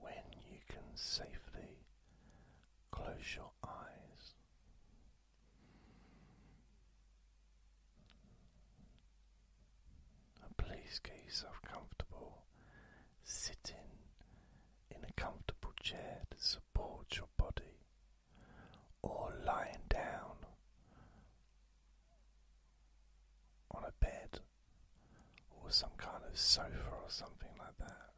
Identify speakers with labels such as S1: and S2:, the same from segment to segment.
S1: when you can safely close your eyes. please get yourself comfortable. Sitting in a comfortable chair to support your body, or lying down on a bed or some kind of sofa or something like that.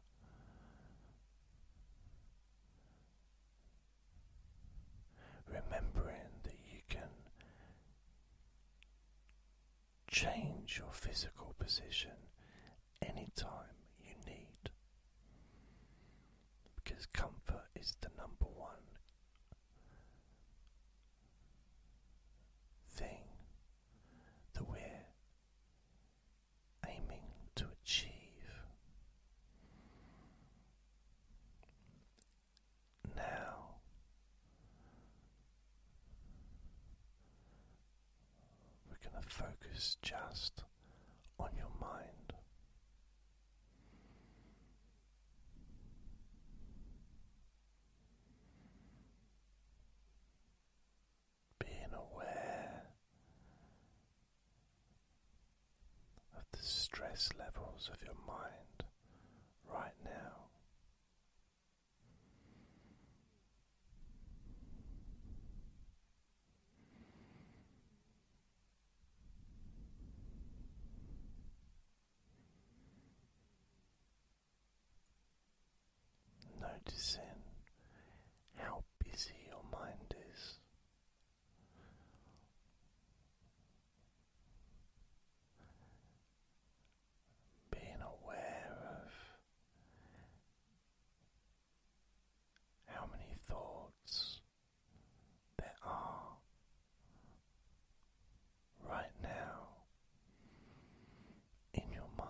S1: Remembering that you can change your physical position anytime you need because comfort is the number one thing that we're aiming to achieve. Now, we're going to focus just on your mind being aware of the stress levels of your mind right now. Noticing how busy your mind is. Being aware of how many thoughts there are right now in your mind.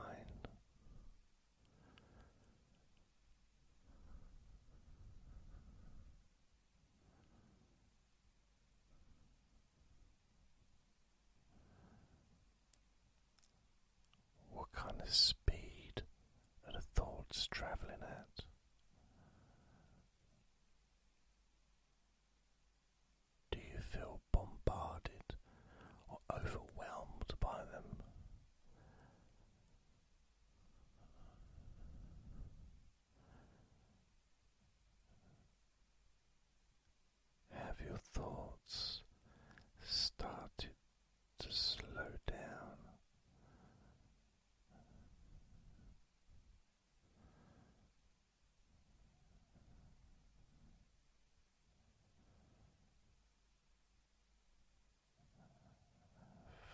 S1: What kind of speed are the thoughts travelling at? Do you feel bombarded or overwhelmed by them? Have your thoughts started to slow down?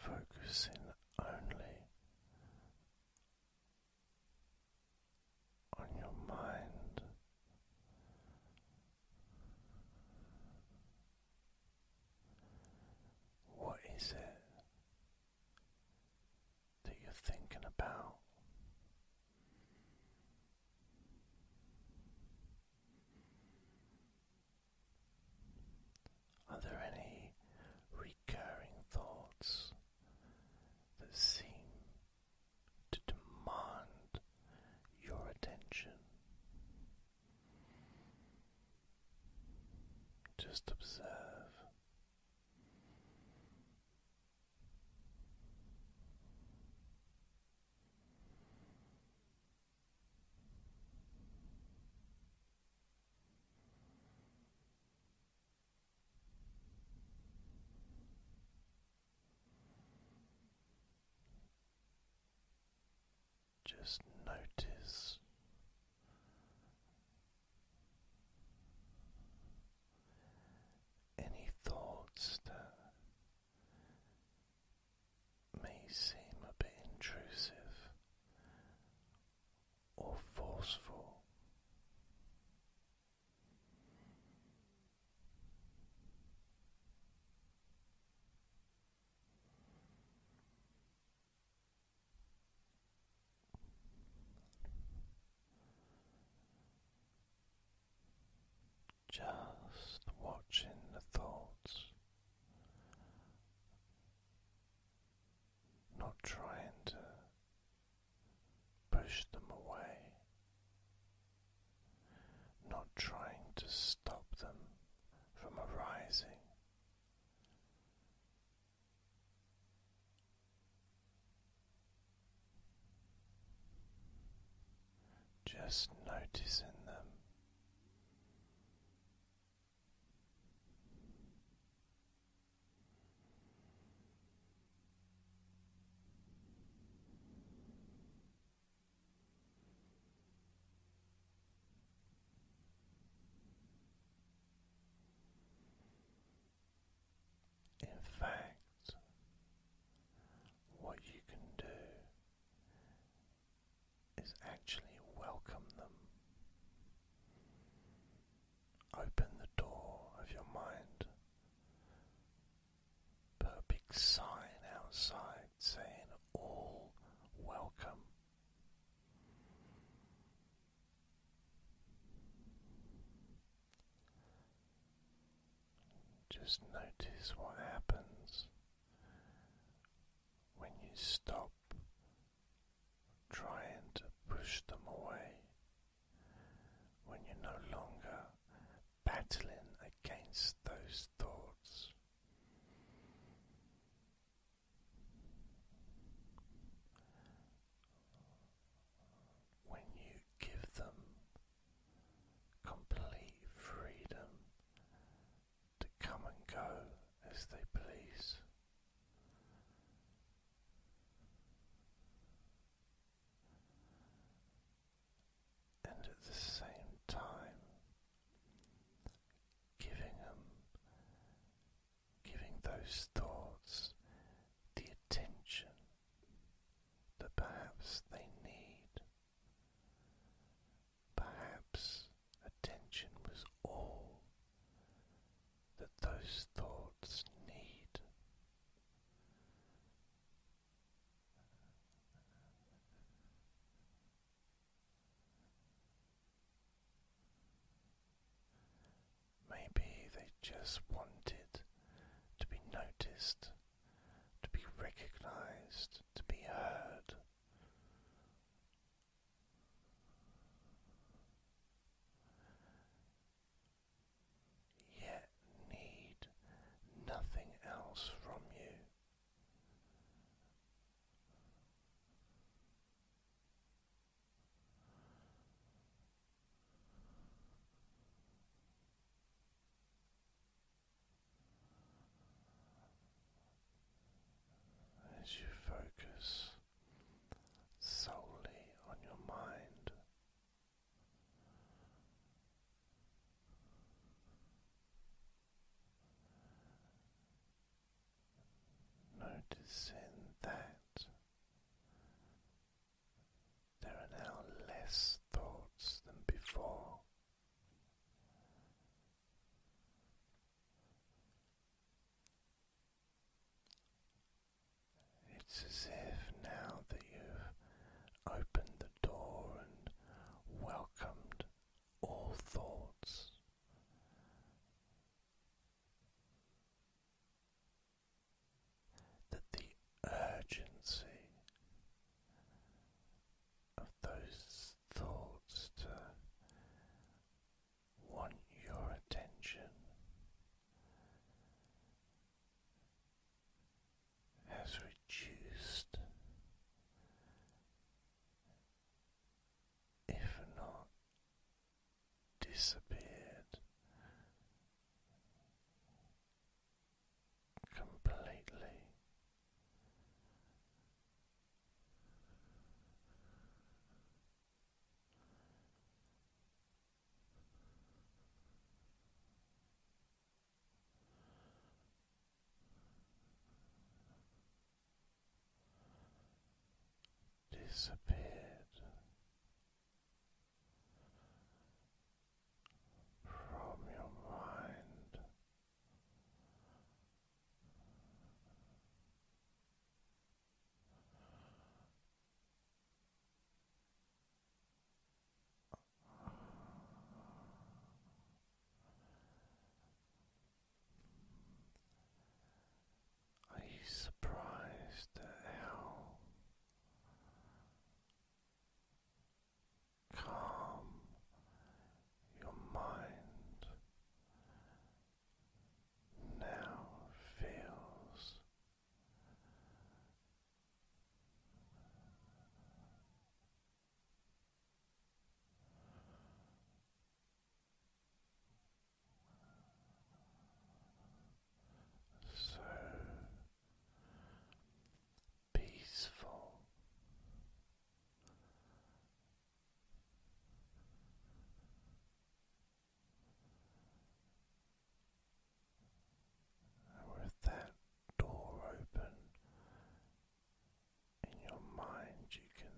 S1: Focusing only on your mind. What is it that you're thinking about? Are there any recurring thoughts that seem to demand your attention? Just observe. Just notice any thoughts that may seem a bit intrusive or forceful. Just watching the thoughts, not trying to push them away, not trying to stop them from arising. Just noticing them. In fact, what you can do is actually welcome them. Open the door of your mind. Put a big sign outside saying all welcome. Just notice what happens when you stop trying to push them away, when you're no longer battling against those thoughts. When you give them complete freedom to come and go as they please. And at the same time, giving them, giving those thoughts the attention that perhaps they need. Perhaps attention was all that those thoughts need. Maybe they just wanted to be noticed to be recognized, to be heard. Yet need nothing else from you as you focus solely on your mind. Noticing that there are now less thoughts than before. It's as if now that you've opened the door and welcomed all thoughts that the urgency of those thoughts to want your attention has reduced, if not disappeared completely. Disappeared from your mind. Are you surprised at how calm your mind now feels so peaceful. with that door open in your mind, you can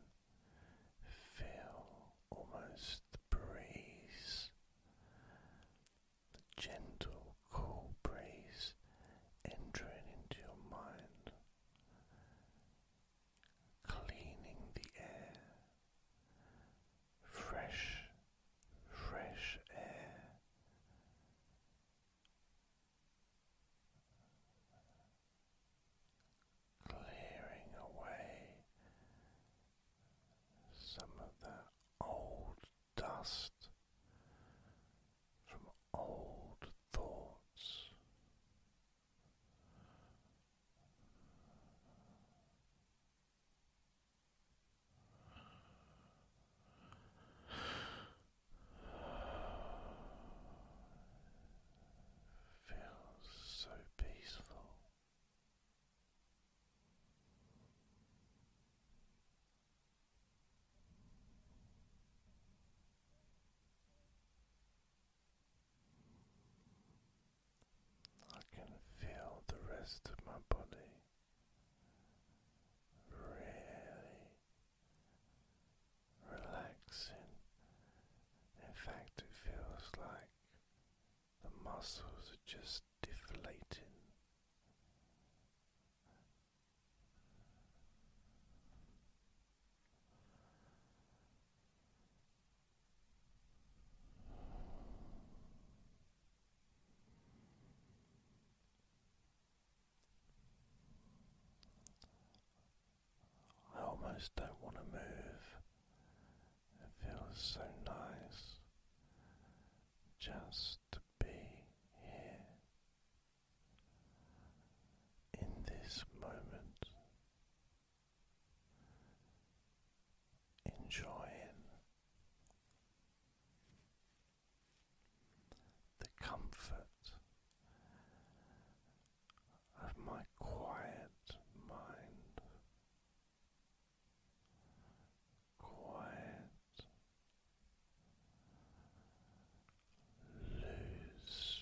S1: feel almost breeze the gentle, cool breeze entering into your mind, cleaning the air. Fresh, fresh air. Clearing away some of the old dust from old thoughts. Feels so peaceful. I can feel the rest of my body really relaxing. In fact, it feels like the muscles are just deflating. I almost don't want to move. It feels so nice just be here in this moment, enjoying the comfort of my quiet mind. Quiet Lose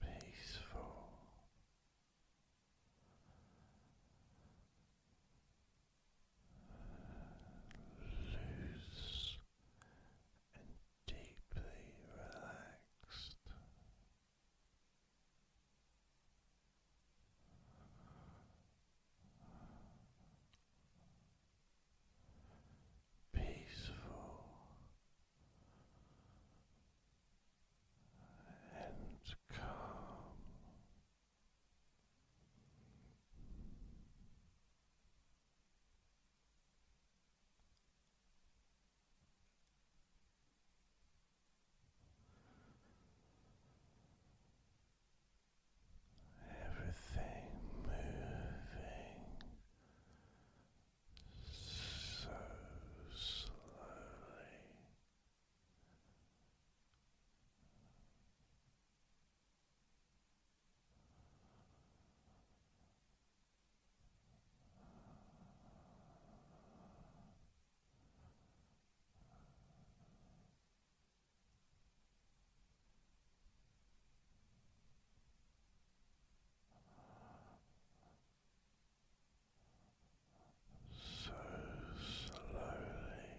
S1: peaceful. Loose deeply relaxed. Peaceful and calm. Everything moving so slowly. So slowly.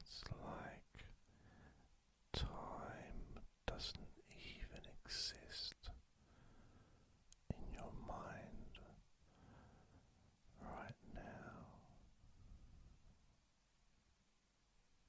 S1: It's like time doesn't even exist in your mind right now.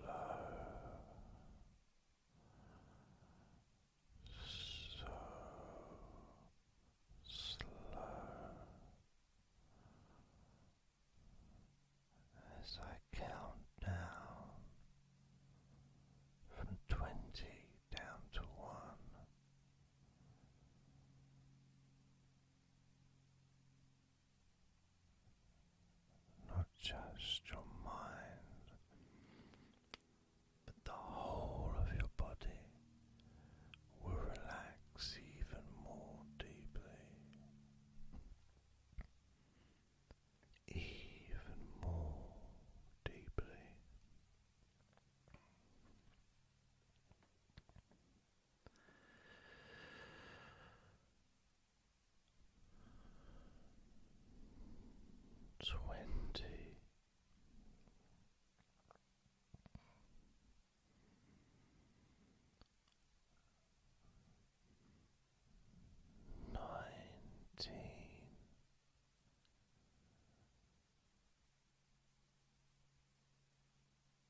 S1: slow, so slow as I count down from twenty down to one not just your mind, but the whole of your body will relax even more deeply, even more deeply. Twenty nineteen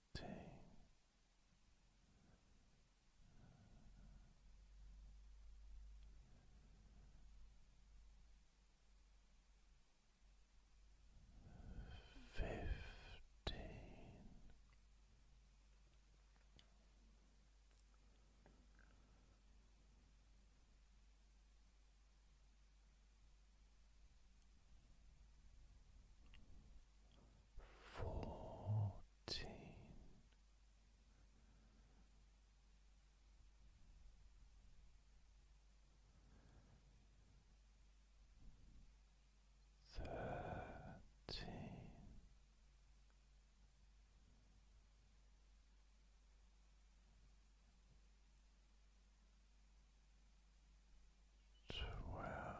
S1: sixteen. Fifteen fourteen thirteen twelve